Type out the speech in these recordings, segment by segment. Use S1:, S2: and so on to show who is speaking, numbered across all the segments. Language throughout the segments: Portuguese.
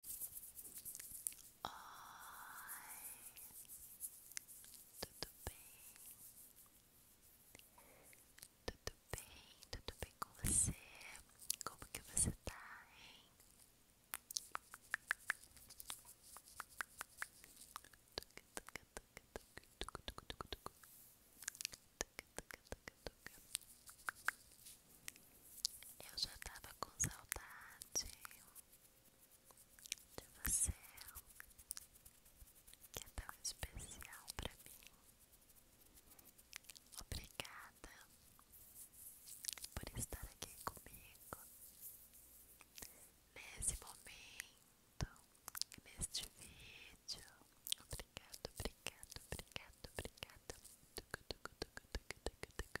S1: Oi, tudo bem? Tudo bem, tudo bem com você? Como que você está hein? Tuc, tuc, tuc, tuc, tuc, tuc, tuc, tuc, tuc, tuc, tuc, tuc, tuc, tuc, tuc, tuc, tuc, tuc, tuc, tuc, eu já tava com saudade de você, que é tão especial pra mim. Obrigada por estar aqui comigo nesse momento, neste vídeo. obrigada obrigada obrigada obrigada Tucu, tucu, tucu, tucu, tucu, tucu,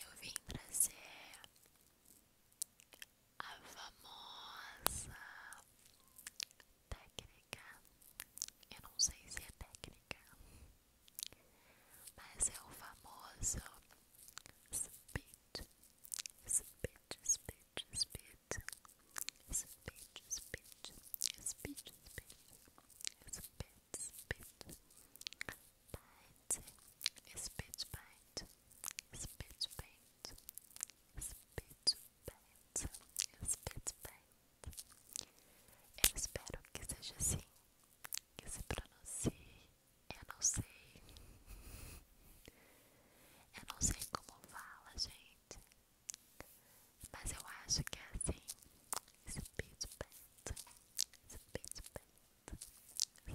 S1: eu vim trazer a famosa técnica. Eu não sei se é técnica, mas é o famoso spit, spit, spit, spit, spit, spit, spit, spit. Espeto, spit. Bite. Spit, bite. espeto, bite. espeto. bite. Spit, bite. Eu espero que seja assim. Que se pronuncie. Eu não sei. Eu não sei como fala, gente. Mas eu acho que é assim. espeto, Pet. Na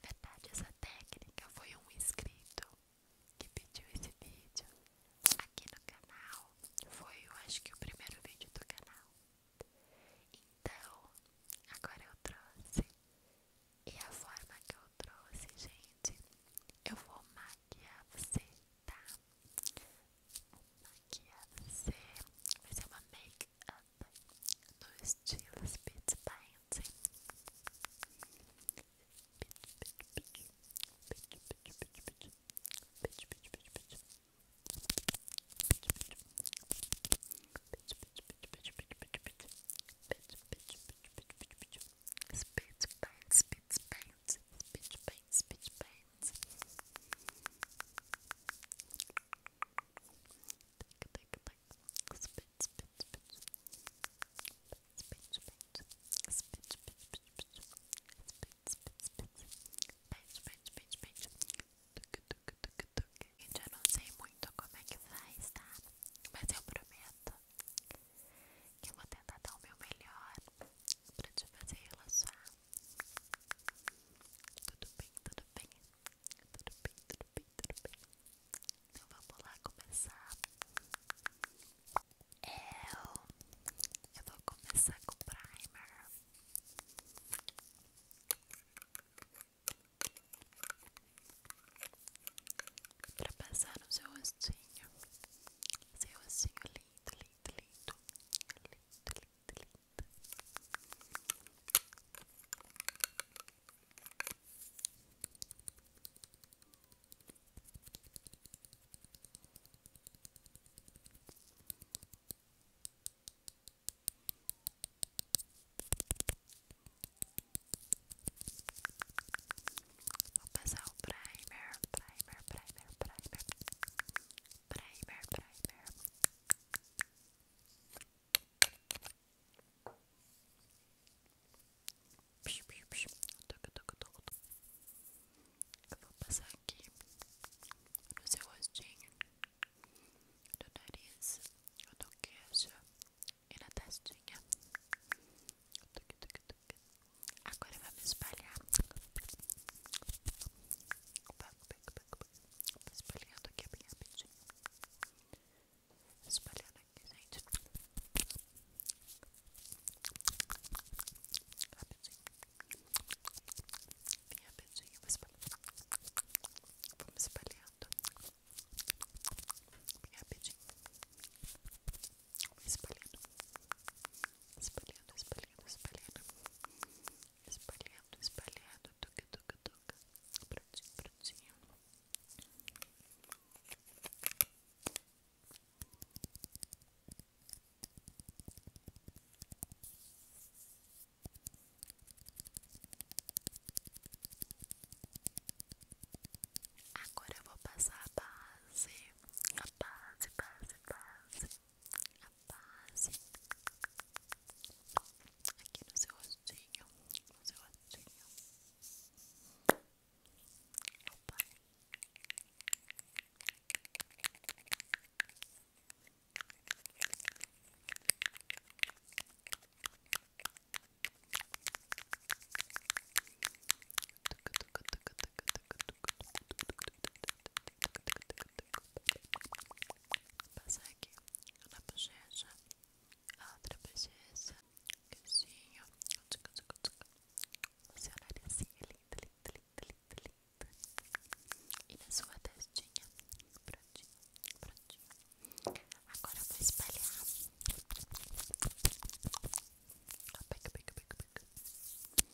S1: verdade, essa técnica foi um inscrito que pediu esse vídeo aqui no canal. Foi, eu acho que, o primeiro vídeo do canal. Então, agora eu trouxe. E a forma que eu trouxe, gente, eu vou maquiar você tá? Aqui é você vai ser uma make-up no estilo Speed Painting. Speed paint, speed paint, paints, speech paints, speech paints. Take, take, take. Spit, spit, spit. Spit, spit, spit. Spit, spit, spit, spit. Spit, spit, spit. Page, Gente, eu não sei muito como é que faz, tá? Mas eu prometo que eu vou tentar dar o meu melhor pra te fazer relaxar tudo bem, tudo bem? Tudo bem, tudo bem, tudo bem? Então vamos lá começar. Eu, é, eu vou começar com o primer. Pra passar no seu rostinho, seu rostinho lindo. delete, delete, delete, delete, delete. primer, primer, primer, primer. Peraí, peraí, peraí, peraí. Pish, pish, pish. Toc, toc, toc, toc. Eu vou passar aqui no seu Agora eu vamos espalhar. espalhando aqui bem rapidinho. Espalhando aqui, gente. Rapidinho. Bem rapidinho. Vou espalhando. Vamos espalhando. Bem rapidinho. espalhando espalhando, espalhando, espalhando, espalhando, espalhando, toca, toca, toca, prontinho, prontinho. Agora eu vou passar a base, a base, base, base a base aqui no seu rostinho, no seu rostinho. Opa. Tuc, tuc, Passar aqui na bochecha, a outra bochecha, queixinho, o seu narizinho lindo, lindo, lindo, lindo, lindo, e na sua testinha, prontinho, prontinho. Agora eu vou espalhar. Ó, pega, pega, pega, pega.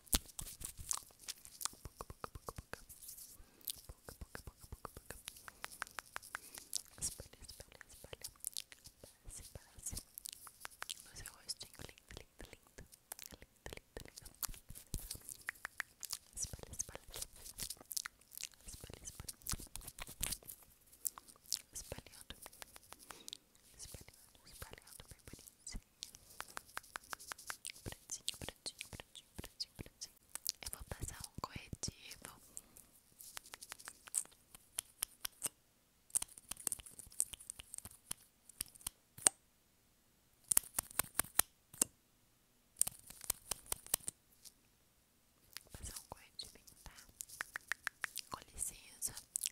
S1: Espalha, espalha, espalha. Passe, passe. No seu rostinho lindo, lindo, lindo. Lindo, lindo, lindo. Espalha, espalha. Espalha, espalha. Espalhando. Espalhando, espalhando. Bem bonitinho. Prontinho, prontinho, prontinho, prontinho, prontinho. Eu vou passar um corretivo. Vou passar um corretivinho, tá? Com licença.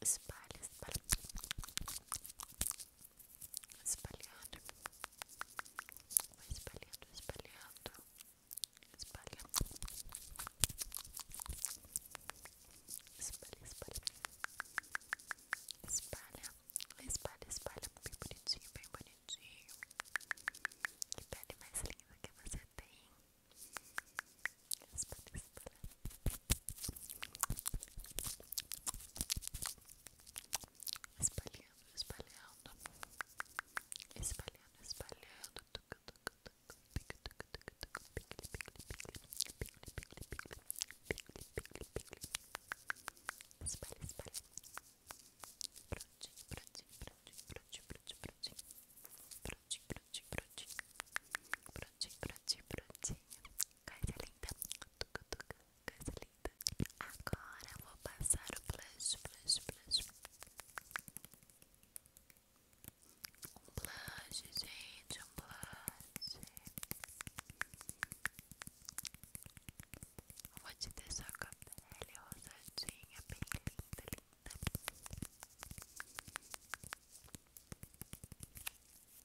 S1: espalha, espalha, espalhando, vai espalhando, espalhando, espalha, espalha, espalha, espalha, espalha, espalha, bem bonitinho, bem bonitinho, que pele mais linda que você tem, espalha, espalha. Espalhando, espalhando, espalhando, espalhando. Espalha, espalha. Prontinho, prontinho, prontinho, prontinho, prontinho, prontinho, prontinho, prontinho, prontinho, prontinho, prontinho, Coisa linda tuca, tuca, Coisa linda Agora vou passar o blush Blush, blush Um blush, gente Um blush Vou te deixar com a pele rosadinha Bem linda, linda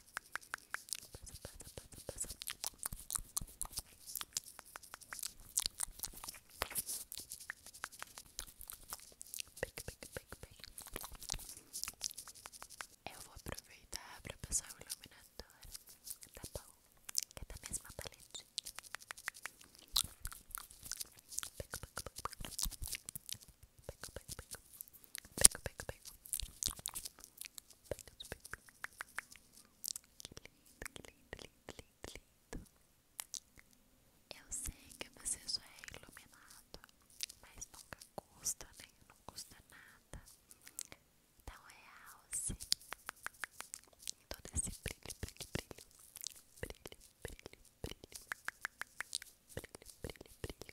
S1: passa, passa, passa. Pique, pique, pique, pique. Eu vou aproveitar para passar o iluminador Tá bom? Que é da mesma paletinha Pego, pego, pego Pego, pego, pego Pego, pego, pego que lindo, que lindo, lindo, lindo, lindo. Eu sei que você só é iluminado, mas nunca custa, né? Não custa nada. Então realce é todo esse brilho, brilho, brilho, brilho, brilho, brilho, brilho, brilho, brilho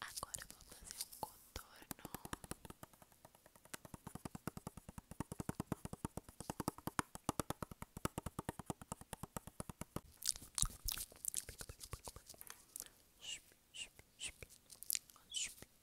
S1: Agora vou fazer um contorno. Sopa, sopa,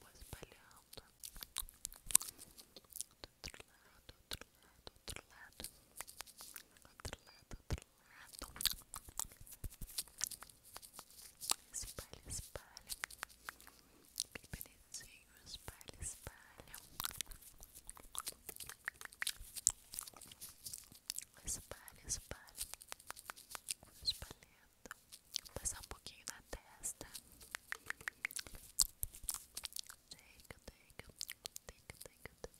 S1: Vou espalhando do outro lado, outro lado, outro lado, outro lado, outro lado. Espalha, espalha. Bem bonitinho, espalha, espalha. Espalha, espalha olhando, passar um pouquinho na testa. Take, take, take, take, take.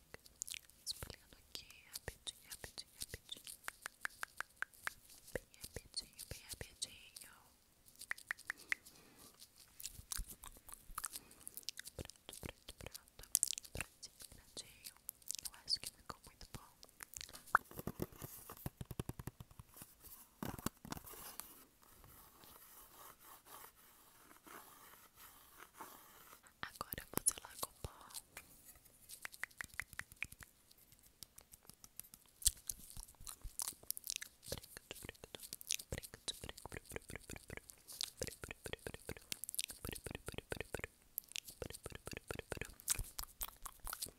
S1: Espalhando aqui, rapidinho, rapidinho, rapidinho. Bem rapidinho, bem rapidinho. Pronto, pronto, pronto. Prontinho, prontinho. Eu acho que ficou muito bom. Agora eu vou selar com pó.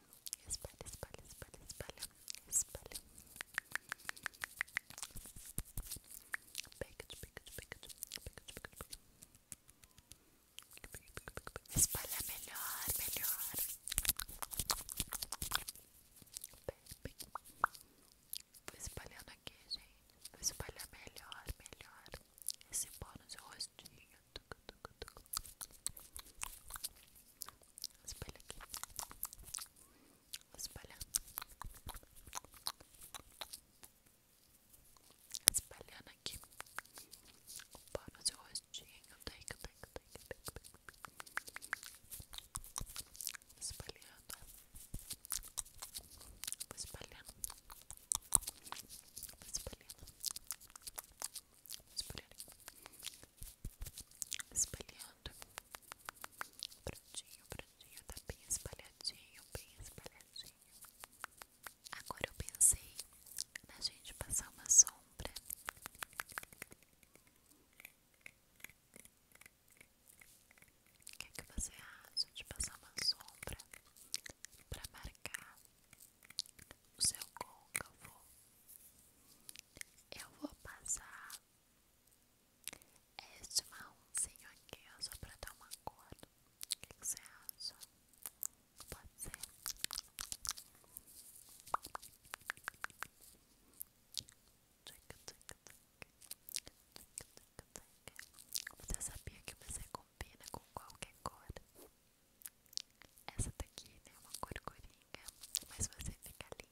S1: Espalha, espalha, espalha, espalha, espalha. Pega, pega, pega, pega, pega. Espalha melhor, melhor. Vou espalhando aqui, gente. Vou espalhar melhor, melhor. Esse pó no seu rostinho. Tuc, tuc, tuc. Espalha aqui. Espalha. Espalhando aqui. O no seu rostinho. Take, take, take, take, take. Espalhando. Vou espalhando. espalhando. espalhando espalhando prontinho, prontinho, tá bem espalhadinho, bem espalhadinho. Agora eu pensei na gente passar uma sombra. O que, é você acha de passar uma sombra para marcar o seu côncavo eu vou passar este marronzinho aqui, só para dar uma cor. O que, você acha? Pode ser? Você sabia que você combina com qualquer cor? Essa daqui tem né, é uma cor coringa, mas você fica linda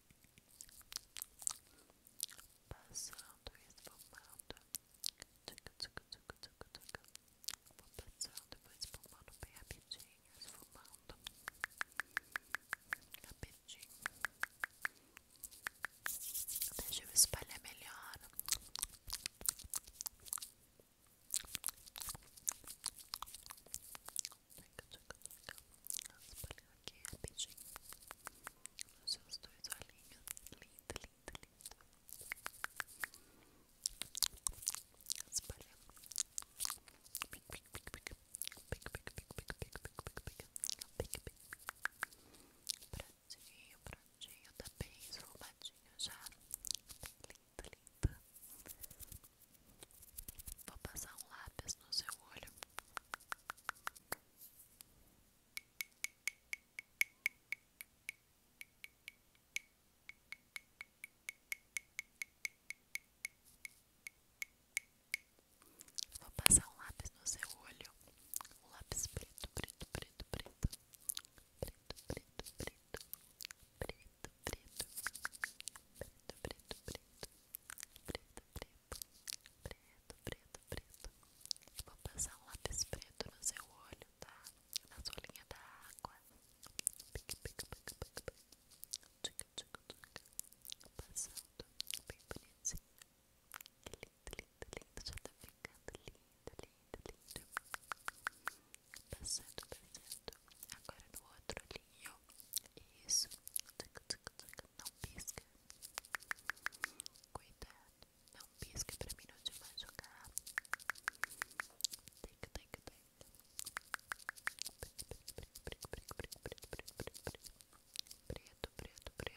S1: de passando e esfumando. Vou passando e vou esfumando bem rapidinho, esfumando rapidinho. Deixa eu espalhar melhor. Espalhar aqui rapidinho nos seus dois olhinhos. Lindo, lindo, lindo. Espalha. Pic, pic, pic, pic. Pic, pic, pic, pic, pic, pic, pic, pic. Pic, pic. Prontinho, prontinho. Tá bem esfumadinho já. Lindo, lindo. Vou passar um lápis no seu olho. Vou passar um lápis no seu olho, um lápis preto, preto, preto, preto, preto, preto, preto, preto, preto, preto, preto, preto, preto, preto, preto, preto, preto, preto, preto. vou passar um lápis preto no seu olho, tá? Na sua linha da água. Pique, pique, pique, pique, pique. Tchica, tchica, tchica. Passando bem bonitinho. Que lindo, lindo, lindo. Já tá ficando lindo, lindo, lindo. Passando, passando. Agora no outro olhinho. Isso. Tchica, tchica, tchica. Não pisca. Cuidado, não pisca pra mim não te machucar. Tic, tic, tic. Preto, preto, preto, preto, preto, preto, preto. Preto,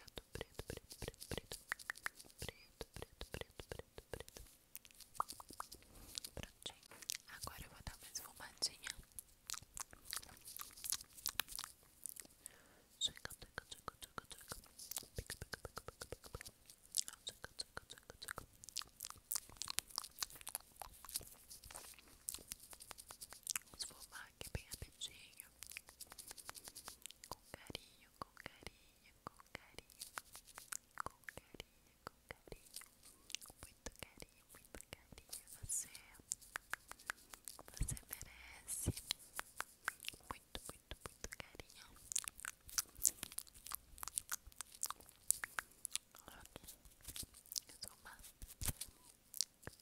S1: preto, preto, preto, preto. Prontinho. Agora eu vou dar mais fumadinha. Esfumar aqui bem rapidinho Com carinho, com carinho, com carinho Com carinho, com carinho Muito carinho, muito carinho Você você merece muito, muito, muito carinho. Ok,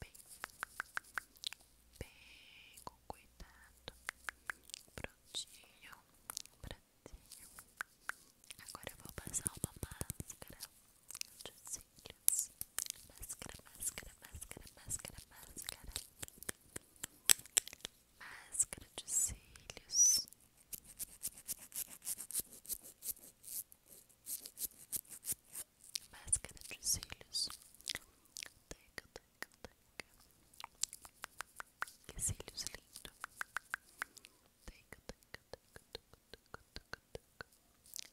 S1: resumar bem, bem com cuidado, prontinho, prontinho. Agora eu vou passar uma máscara de máscaras, máscara, máscara, máscara, máscara, máscara, máscara de cílios. Máscara de cílios. Teca, teca, teca. Que cílios lindo. Teca, teca, teca, teca, teca, teca, teca,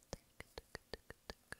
S1: teca, teca, teca.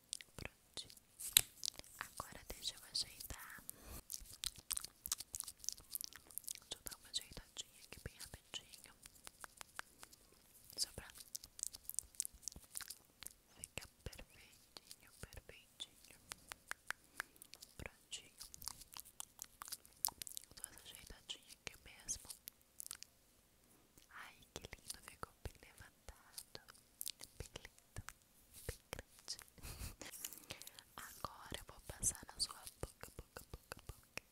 S1: Prontinho. Agora deixa eu ajeitar. Deixa eu dar uma ajeitadinha aqui bem rapidinho. Só pra fica perfeitinho, perfeitinho. Prontinho. dou essa ajeitadinha aqui mesmo. Ai, que lindo ficou bem levantado. Bem lindo. Agora eu vou passar na sua boca, boca, boca, boca.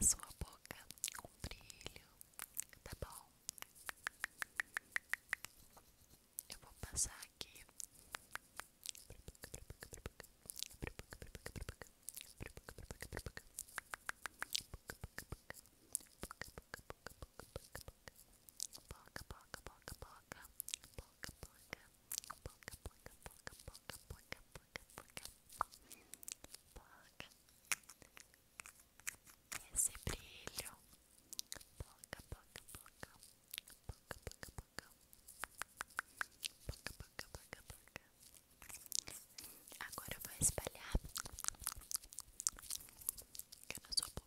S1: Na sua boca com brilho, tá bom? Eu vou passar aqui esse brilho poca poca poca poca poca poca poca poca poca poca agora eu vou espalhar aqui na sua boca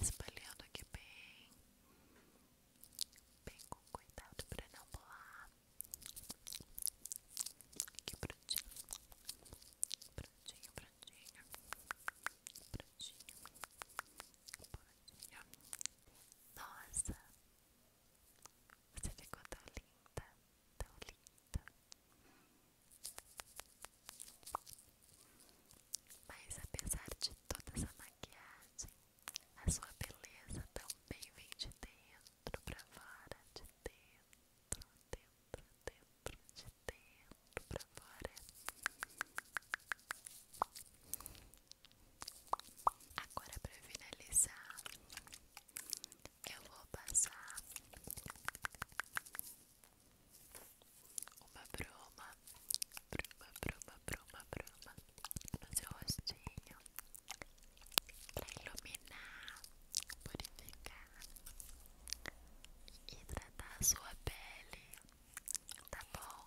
S1: espalhando aqui bem, bem com cuidado para não bolar. Aqui prontinho, prontinho, prontinho, prontinho, prontinho. Nossa, você ficou tão linda, tão linda. Mas apesar de toda essa maquiagem, a sua beleza também vem de dentro pra fora, de dentro, dentro, dentro, de dentro pra fora. Agora pra finalizar, eu vou passar uma bruma bruma bruma bruma bruma no seu rostinho pra iluminar, purificar e tratar a sua pele, tá bom?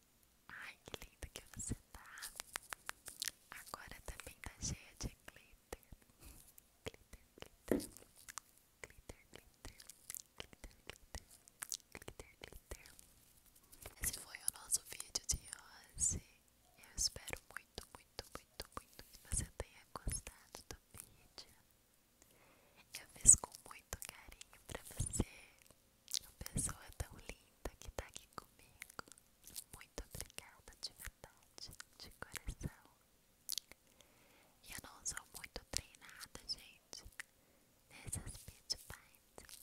S1: Ai, que linda que você tá. Agora também tá cheia de glitter. Glitter, glitter. Glitter, glitter. Glitter, glitter. Glitter, glitter. Esse foi o nosso vídeo de hoje. Eu espero muito, muito, muito, muito que você tenha gostado do vídeo. Eu fiz com muito carinho pra você a pessoa é tão linda que tá aqui comigo. Muito obrigada de verdade, de coração. eu não sou muito treinada, gente, nessas speedbites,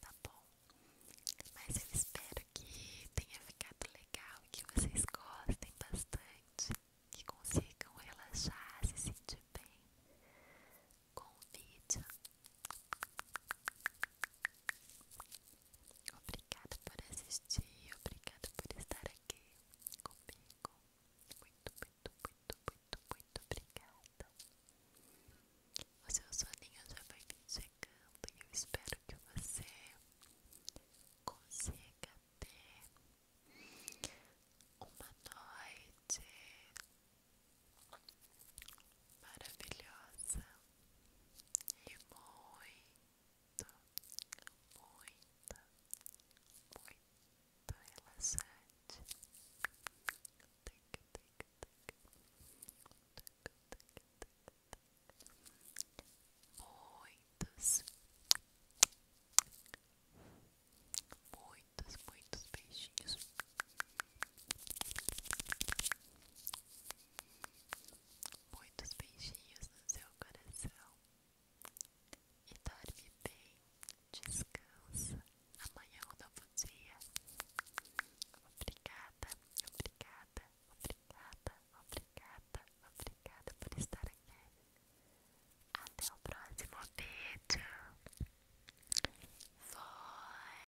S1: tá bom? Mas eu espero que tenha ficado legal que vocês gostem bastante, que consigam relaxar, se sentir bem com o vídeo. Obrigada por assistir, obrigada por estar aqui comigo. Muito, muito, muito, muito, muito obrigada. O seu soninho já vai vir chegando e eu espero que você consiga ter uma noite maravilhosa e muito, muito, muito relaxante. Muitos, muitos, muitos beijinhos. Muitos beijinhos no seu coração e dorme bem, descansa. Amanhã eu é não vou dia. Obrigada, obrigada, obrigada, obrigada, obrigada por estar aqui. Até o próximo vídeo. Foi.